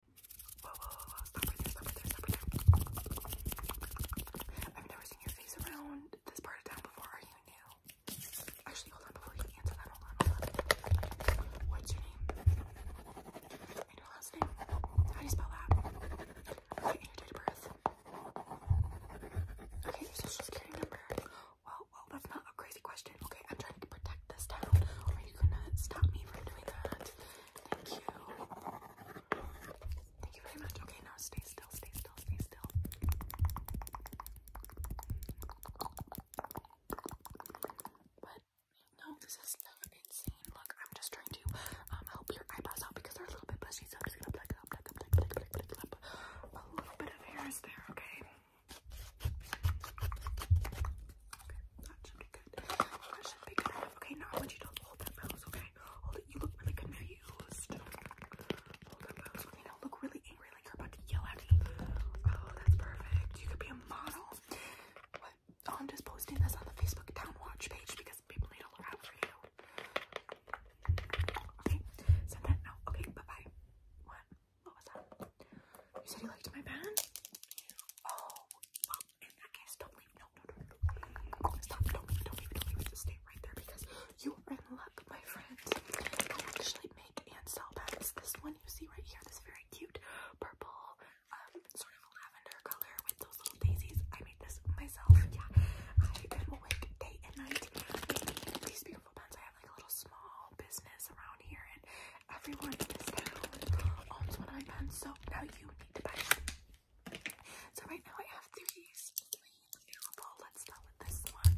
Whoa, I've never seen your face around this part of town before. Are you new? Actually, hold on before you answer that. Hold on, What's your name? And your last name? How do you spell that? Okay, your date of birth? Okay, your social security number? Well, well, that's not a crazy question. Okay, I'm trying to protect this town. Are you gonna stop me from doing that? Thank you. Thank you very much. Okay, now stay still, stay still, stay still. But no, this is not insane. Look, I'm just trying to um help your eyebrows out because they're a little bit bushy, so I'm just gonna pluck up, pluck up, pluck, pluck, pluck, pluck, pluck. A little bit of hair is there, okay? Okay, that should be good. That should be good Okay, now I want you to hold that pose, okay? Hold it. You look really confused. Hold that pose. Okay, now look really angry like you're about to yell at me. Oh, that's perfect. You could be a model. Oh, I'm just posting this on the Facebook Town Watch page because people need to look out for you. Okay, send that now. Okay, bye-bye. What? What was that? You said you liked my band? Oh, in that case, don't leave. No, no, no, no. Stop. Don't leave, don't leave, don't leave. Just stay right there because you are in luck, my friend. I actually make and sell bands. This one you see right here, this very cute purple, um, sort of lavender color with those little daisies. I made this myself. Yeah, I am awake day and night making these beautiful bands. I have like a little small business around here and everyone in this town owns one on iPad, so now you need to buy one. So right now I have three Let's start with this one.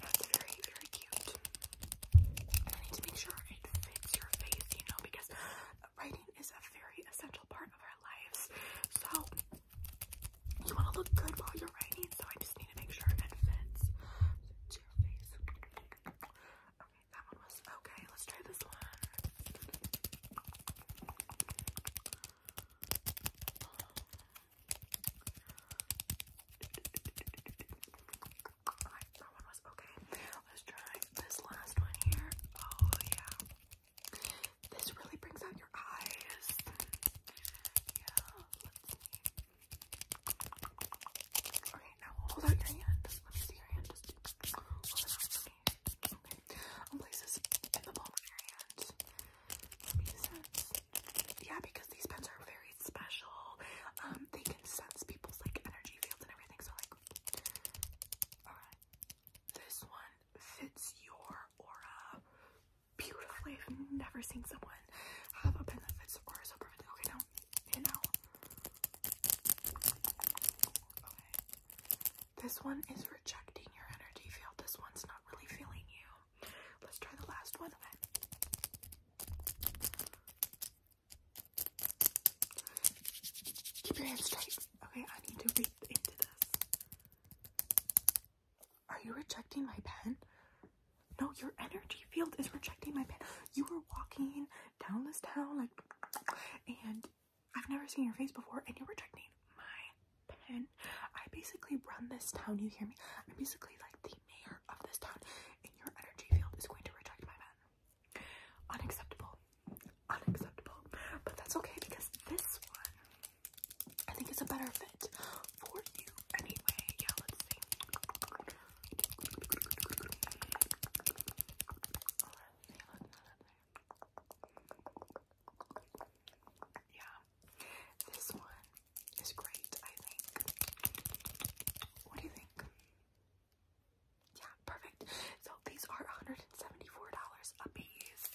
That's very, very cute. I need to make sure it fits your face, you know, because writing is a very essential part of our lives. So you want to look good while you're writing, so I just need to make sure it fits to your Okay, that one was okay. Let's try this one. Okay, that one was okay. Let's try this last one here. Oh, yeah. This really brings out your eyes. Okay, now hold out your hand. Let me see your hand. Okay. I'll um, place this in the palm of your hand. Let me sense. Yeah, because these pens are very special. Um, they can sense people's like energy fields and everything. So like, alright. This one fits your aura beautiful. I've never seen someone have a benefits or so perfectly. Okay, now, you know, This one is rejecting your energy field. This one's not really feeling you. Let's try the last one. Keep your hands straight. Okay, I need to read into this. Are you rejecting my pen? No, your energy field is rejecting my pen. You were walking down this town, like, and I've never seen your face before, and you're rejecting my pen. I basically run this town, you hear me? I'm basically like the mayor of this town, and your energy field is going to reject my pen. Unacceptable. Unacceptable. But that's okay because this one I think it's a better fit for you anyway. Yeah, let's see. Yeah, this one is great, I think. What do you think? Yeah, perfect. So these are $174 a piece.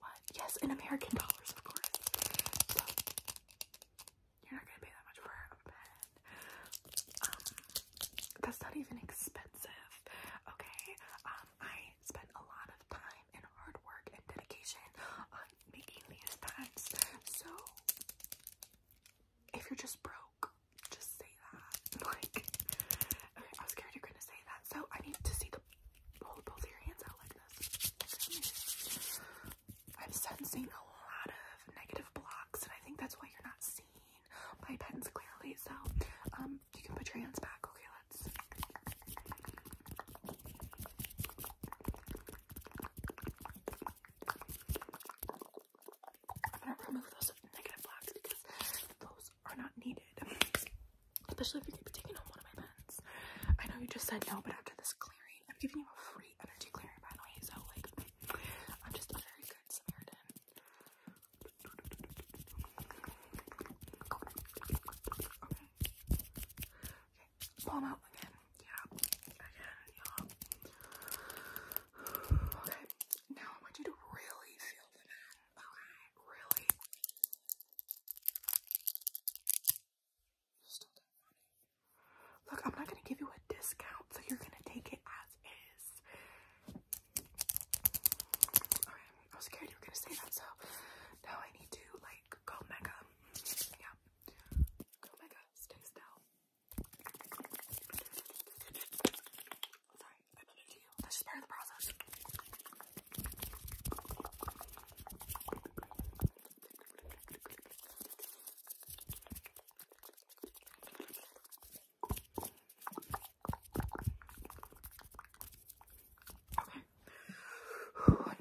What? Yes, in American dollars, of course. you're not gonna pay that much for a pen. Um, that's not even expensive. Okay. Um, I spent a lot of time and hard work and dedication on making these pens. So, if you're just broke, just say that. Like, I was scared you're gonna say that. So I need to see the hold both your hands out like this. I'm sensing a lot of negative blocks, and I think that's why you're not seeing my pens clearly. So, um, you can put your hands back. Okay, let's. remove those negative blocks because those are not needed. Especially if you're taking home one of my pens. I know you just said no, but after this clearing, I'm giving you a free energy clearing by the way, so like I'm just a very good Samaritan. Palm out again. Yeah. Again, yeah. Okay. Now I want you to really feel the pen. Okay. Really. Look, I'm not gonna give you a discount, so you're gonna take it as is. Alright, I was scared you were gonna say that, so now I need to like go mega. Yeah. Go mega, stay still. I'm allergic that's just part of the process.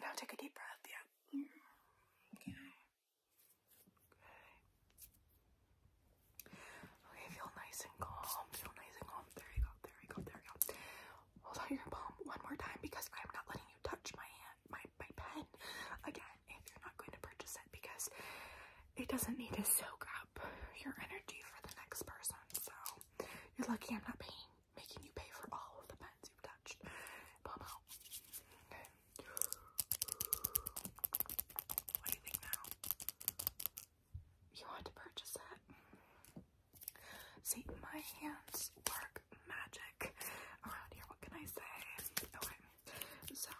now take a deep breath. Yeah. Okay. Okay. Okay, feel nice and calm. Feel nice and calm. There you go. There we go. There we go hold out your palm one more time because I'm not letting you touch my hand, my, my pen again if you're not going to purchase it because it doesn't need to soak up your energy for the next person. So you're lucky I'm not paying, making you pay for all of the pens you've touched. Palm out. What do you think now? you want to purchase it. See, my hands work magic around here. What can I say? Okay, so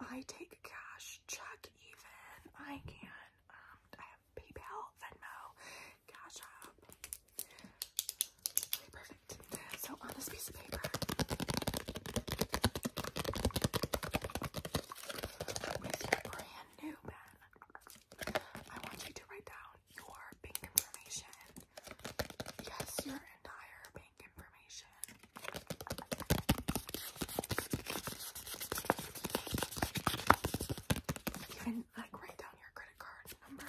I take cash, check even. I can. Um, I have PayPal, Venmo, Cash App. Okay, perfect. So on this piece of paper. With your brand new pen, I want you to write down your bank information. Yes, your entire bank information. Even like write down your credit card number.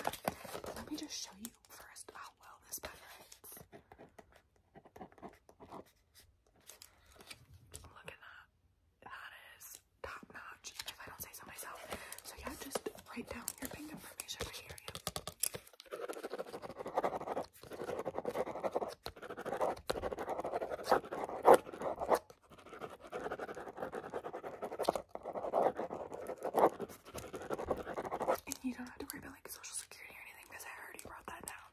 let me just show you first how well this pen writes. Look at that that is top notch, if I don't say so myself. So yeah, just write down your bank information here. And you don't have to worry about like social security or anything because I already wrote that down.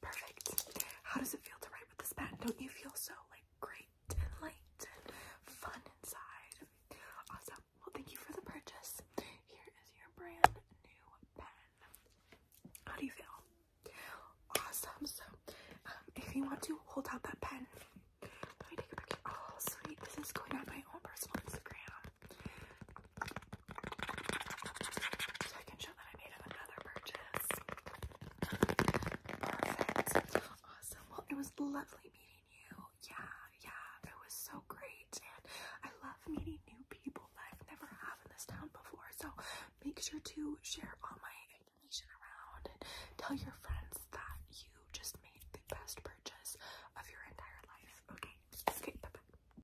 Perfect. How does it feel to write with this pen? Don't you feel so like great and light and fun inside? Awesome. Well, thank you for the purchase. Here is your brand new pen. How do you feel? Awesome. So, um, if you want to hold out that pen, let me take a picture. Oh, sweet. This is going on my own personal Instagram. So I can show that I made another purchase. Perfect. Awesome. Well, it was lovely meeting you. Yeah, yeah. It was so great. And I love meeting new people that I've never had in this town before. So make sure to share all my information around and tell your friends that you just made the best purchase of your entire life. Okay. Okay, bye-bye.